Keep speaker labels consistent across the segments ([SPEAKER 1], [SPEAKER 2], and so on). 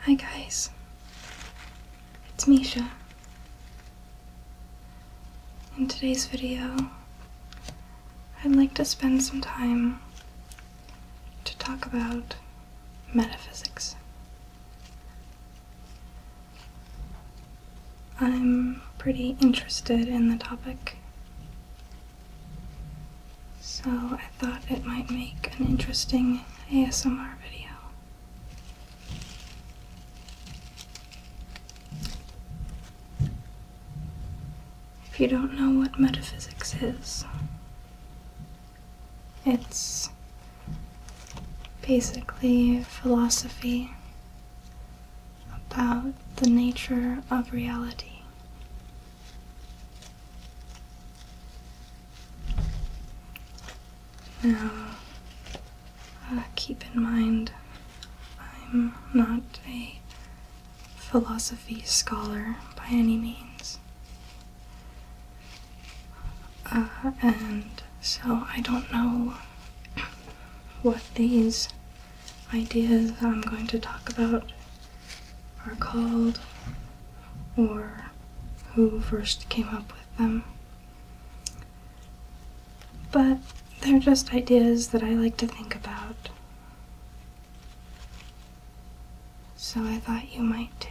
[SPEAKER 1] Hi guys, it's Misha. In today's video, I'd like to spend some time to talk about metaphysics. I'm pretty interested in the topic, so I thought it might make an interesting ASMR video. If you don't know what metaphysics is, it's basically philosophy about the nature of reality now, uh, keep in mind, I'm not a philosophy scholar by any means. Uh, and so I don't know what these ideas I'm going to talk about are called or who first came up with them. But they're just ideas that I like to think about. So I thought you might too.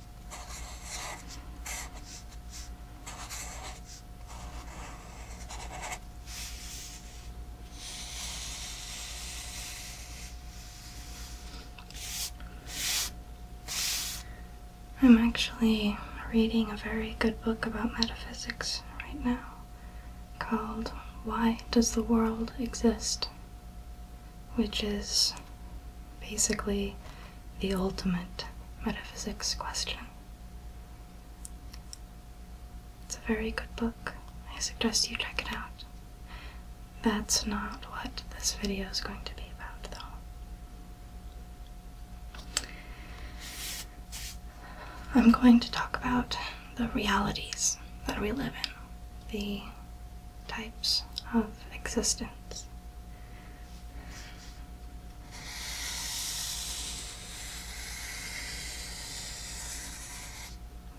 [SPEAKER 1] I'm actually reading a very good book about metaphysics right now called Why Does the World Exist? which is basically the ultimate metaphysics question. It's a very good book. I suggest you check it out. That's not what this video is going to be about, though. I'm going to talk about the realities that we live in, the types of existence.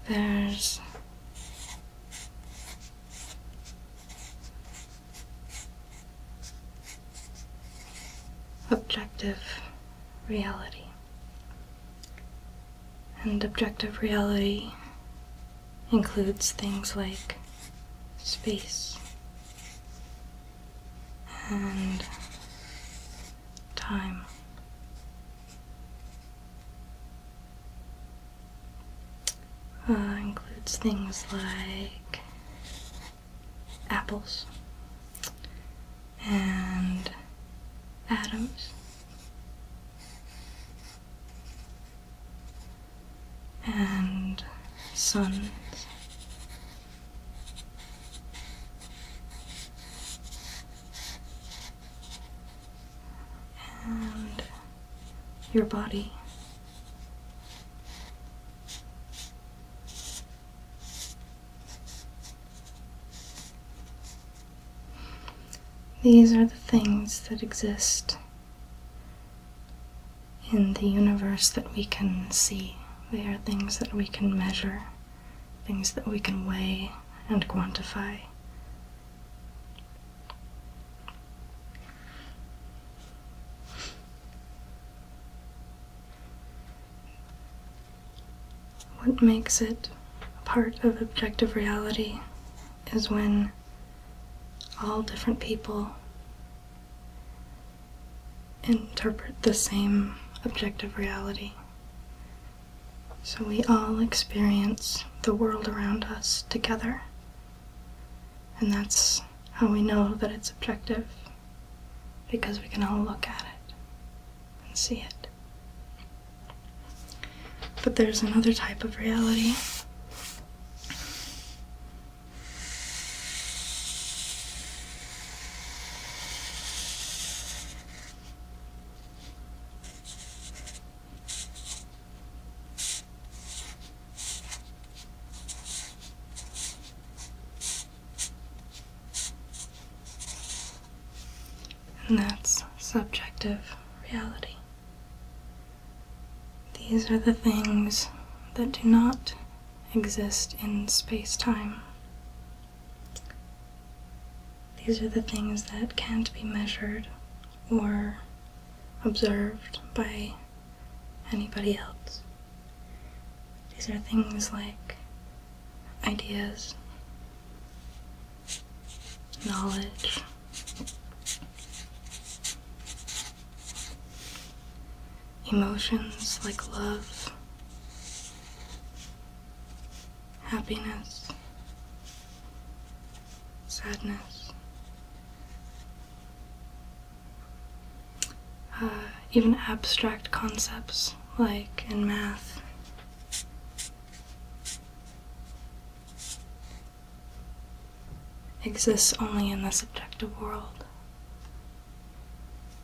[SPEAKER 1] There's objective reality. And objective reality includes things like space and time. Uh, includes things like apples and atoms and suns. And your body. These are the things that exist in the universe that we can see. They are things that we can measure, things that we can weigh and quantify. What makes it part of objective reality is when all different people interpret the same objective reality. So we all experience the world around us together. And that's how we know that it's objective, because we can all look at it and see it. But there's another type of reality. And that's subjective reality. These are the things that do not exist in space time. These are the things that can't be measured or observed by anybody else. These are things like ideas, knowledge. Emotions like love, happiness, sadness, uh, even abstract concepts like in math exists only in the subjective world.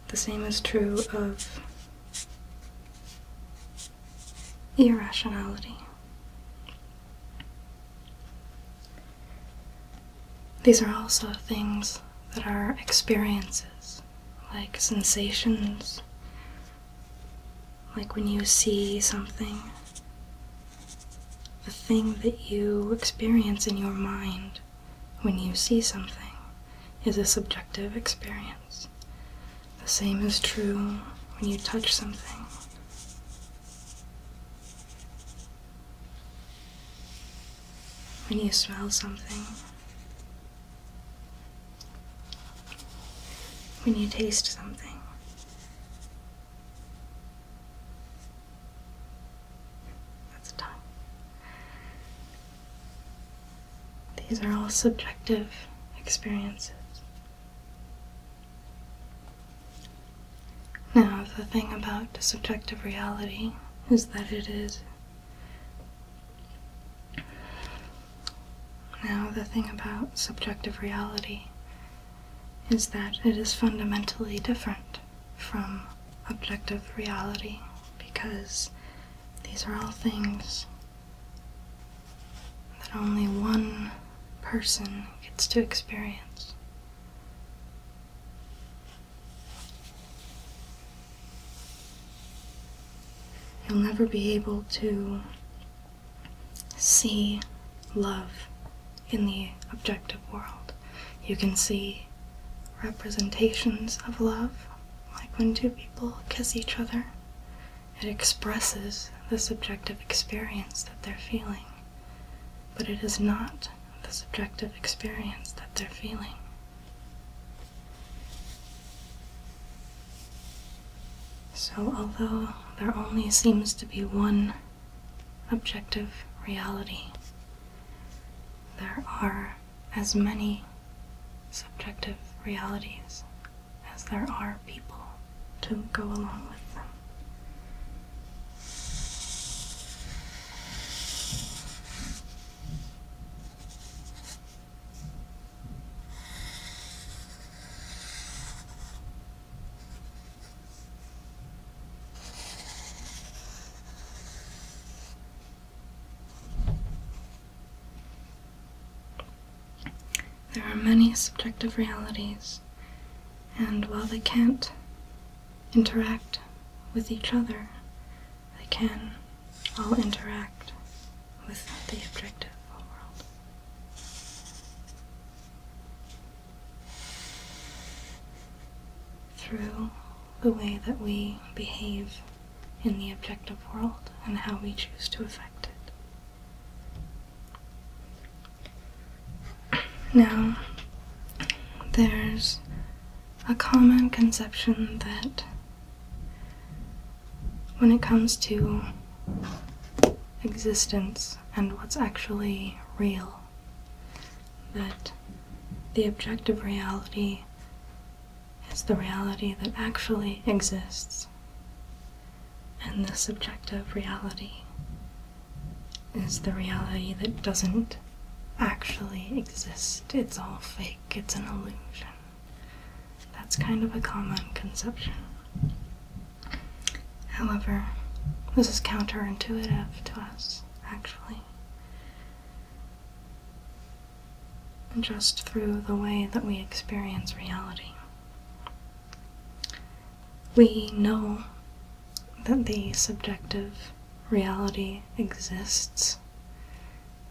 [SPEAKER 1] The same is true of irrationality. These are also things that are experiences, like sensations like when you see something, the thing that you experience in your mind when you see something is a subjective experience. The same is true when you touch something. When you smell something, when you taste something. That's tough. These are all subjective experiences. Now, the thing about subjective reality is that it is now, the thing about subjective reality is that it is fundamentally different from objective reality because these are all things that only one person gets to experience. You'll never be able to see love in the objective world. You can see representations of love, like when two people kiss each other. It expresses the subjective experience that they're feeling, but it is not the subjective experience that they're feeling. So, although there only seems to be one objective reality, there are as many subjective realities as there are people to go along with them. There are many subjective realities, and while they can't interact with each other, they can all interact was not the objective world. Through the way that we behave in the objective world and how we choose to affect it. Now, there's a common conception that when it comes to existence and what's actually real. That the objective reality is the reality that actually exists, and the subjective reality is the reality that doesn't actually exist. It's all fake, it's an illusion. That's kind of a common conception. However, this is counterintuitive to us, actually. just through the way that we experience reality. We know that the subjective reality exists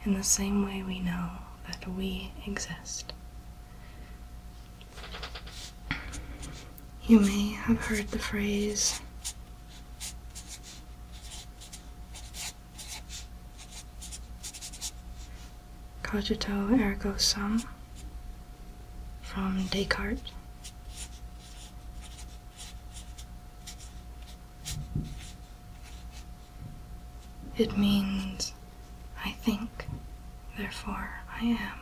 [SPEAKER 1] in the same way we know that we exist. You may have heard the phrase cogito ergo sum from Descartes. It means I think, therefore I am.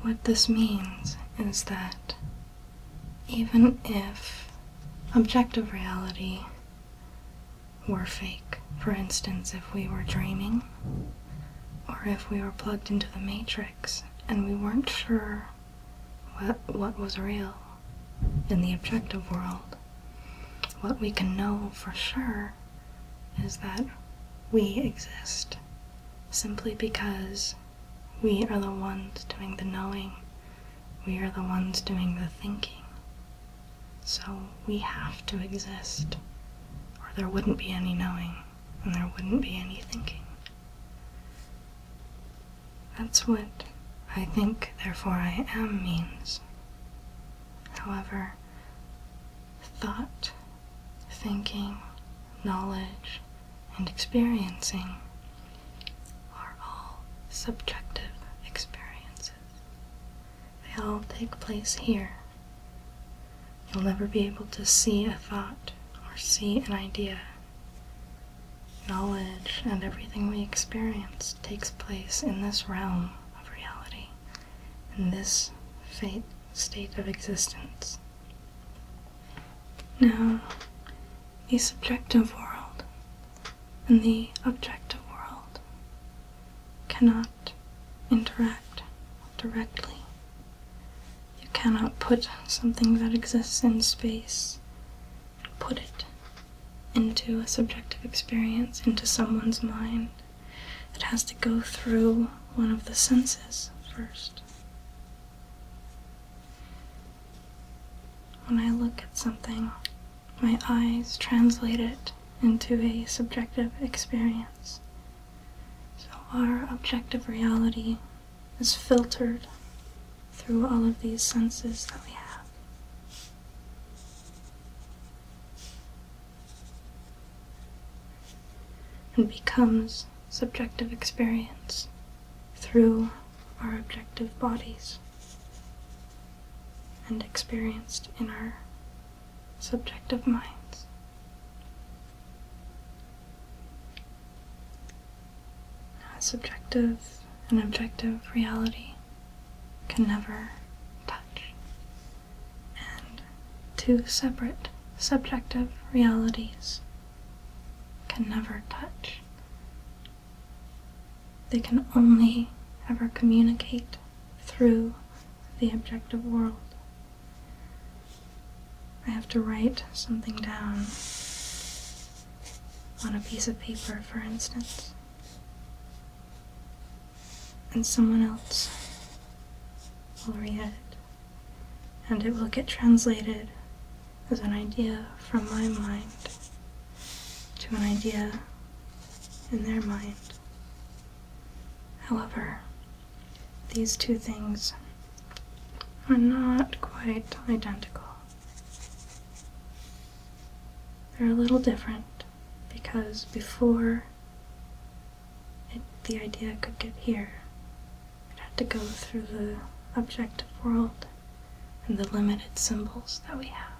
[SPEAKER 1] What this means is that even if objective reality were fake, for instance, if we were dreaming, or if we were plugged into the matrix and we weren't sure what, what was real, in the objective world, what we can know for sure is that we exist simply because we are the ones doing the knowing, we are the ones doing the thinking. So we have to exist, or there wouldn't be any knowing, and there wouldn't be any thinking. That's what I think, therefore I am means. However, thought, thinking, knowledge, and experiencing are all subjective experiences. They all take place here. You'll never be able to see a thought or see an idea knowledge and everything we experience takes place in this realm of reality, in this fate state of existence. Now, the subjective world and the objective world cannot interact directly. You cannot put something that exists in space put it into a subjective experience, into someone's mind, it has to go through one of the senses first. When I look at something, my eyes translate it into a subjective experience. So our objective reality is filtered through all of these senses that we have and becomes subjective experience through our objective bodies and experienced in our subjective minds. A subjective and objective reality can never touch, and two separate subjective realities can never touch. They can only ever communicate through the objective world. I have to write something down on a piece of paper, for instance. And someone else will read it. And it will get translated as an idea from my mind to an idea in their mind. However, these two things are not quite identical. They're a little different because before the idea could get here, it had to go through the objective world and the limited symbols that we have.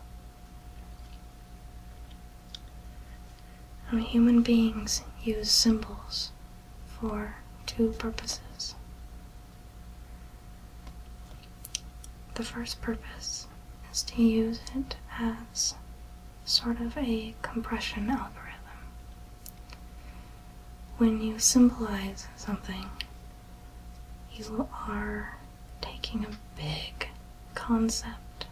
[SPEAKER 1] I human beings use symbols for two purposes the first purpose is to use it as sort of a compression algorithm. When you symbolize something, you are taking a big concept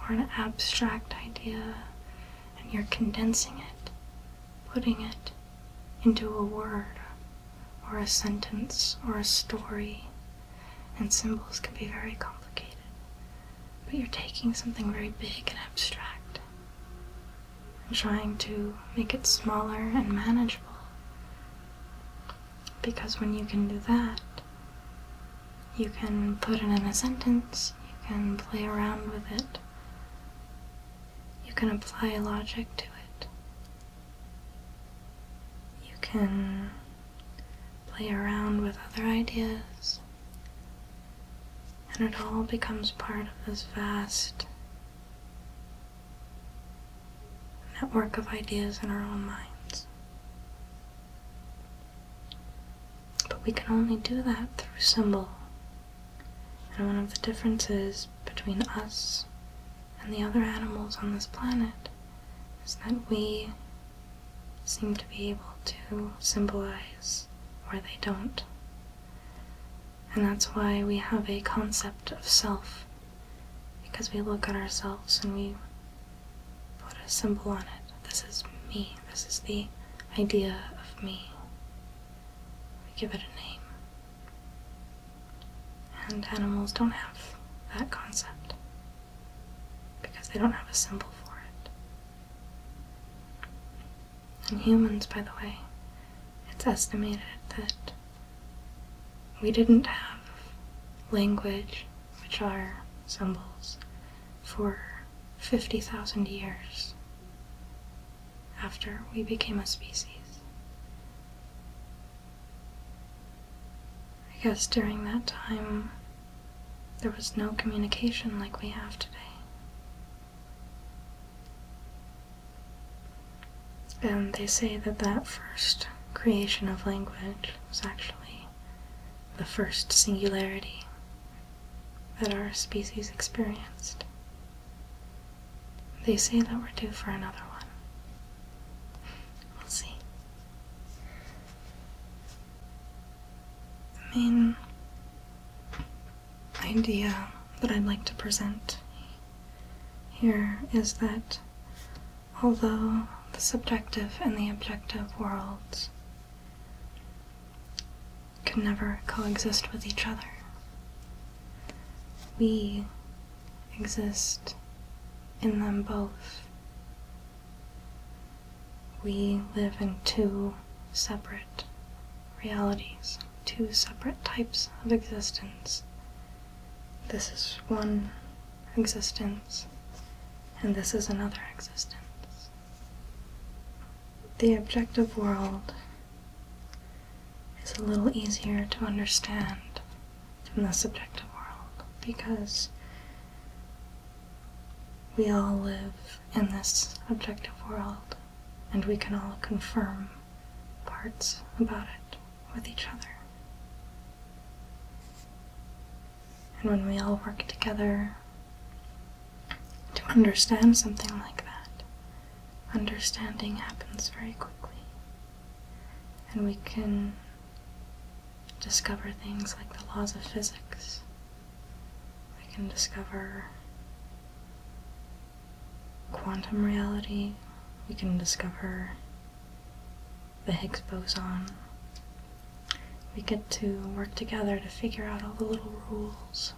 [SPEAKER 1] or an abstract idea and you're condensing it, putting it into a word or a sentence or a story, and symbols can be very complicated. But you're taking something very big and abstract and trying to make it smaller and manageable. Because when you can do that, you can put it in a sentence, you can play around with it, you can apply logic to it, you can play around with other ideas, and it all becomes part of this vast network of ideas in our own minds. But we can only do that through symbol. And one of the differences between us and the other animals on this planet is that we seem to be able to symbolize where they don't. And that's why we have a concept of self, because we look at ourselves and we put a symbol on it. This is me, this is the idea of me. We give it a name. And animals don't have that concept because they don't have a symbol for it. And humans, by the way, it's estimated that we didn't have language, which are symbols, for 50,000 years after we became a species. I guess during that time, there was no communication like we have today. And they say that that first creation of language was actually the first singularity that our species experienced. They say that we're due for another one. We'll see. The main idea that I'd like to present here is that although the subjective and the objective worlds can never coexist with each other, we exist in them both. We live in two separate realities, two separate types of existence. This is one existence, and this is another existence. The objective world is a little easier to understand from the subjective world because we all live in this objective world and we can all confirm parts about it with each other. And when we all work together to understand something like that, understanding happens very quickly and we can discover things like the laws of physics. We can discover quantum reality. We can discover the Higgs boson. We get to work together to figure out all the little rules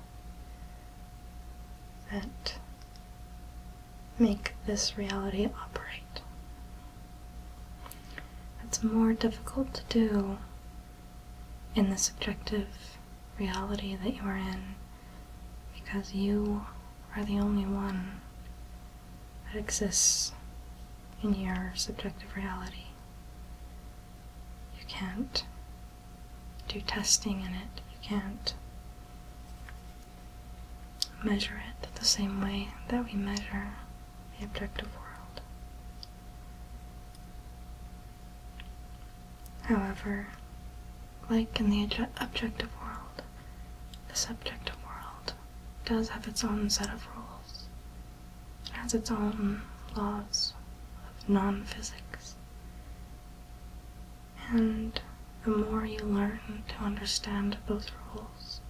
[SPEAKER 1] that make this reality operate. It's more difficult to do in the subjective reality that you are in because you are the only one that exists in your subjective reality. You can't do testing in it, you can't measure it the same way that we measure the objective world. However, like in the objective world, the subjective world does have its own set of rules. has its own laws of non physics and the more you learn to understand those rules,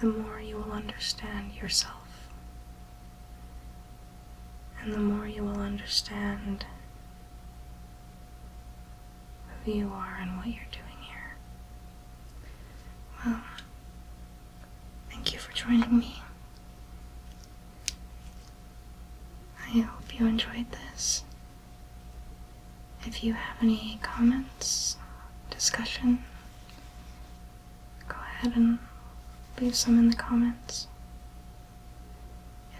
[SPEAKER 1] the more you will understand yourself, and the more you will understand who you are and what you're doing here. Well, thank you for joining me. I hope you enjoyed this. If you have any comments, discussion, go ahead and leave some in the comments.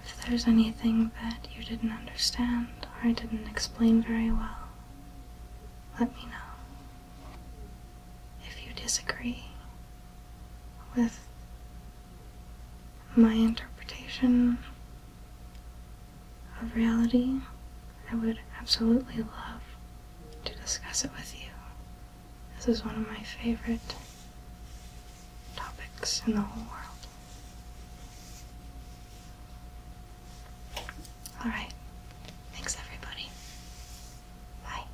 [SPEAKER 1] If there's anything that you didn't understand or I didn't explain very well, let me know. If you disagree with my interpretation of reality, I would absolutely love to discuss it with you. This is one of my favorite topics in the whole world. Alright, thanks everybody. Bye.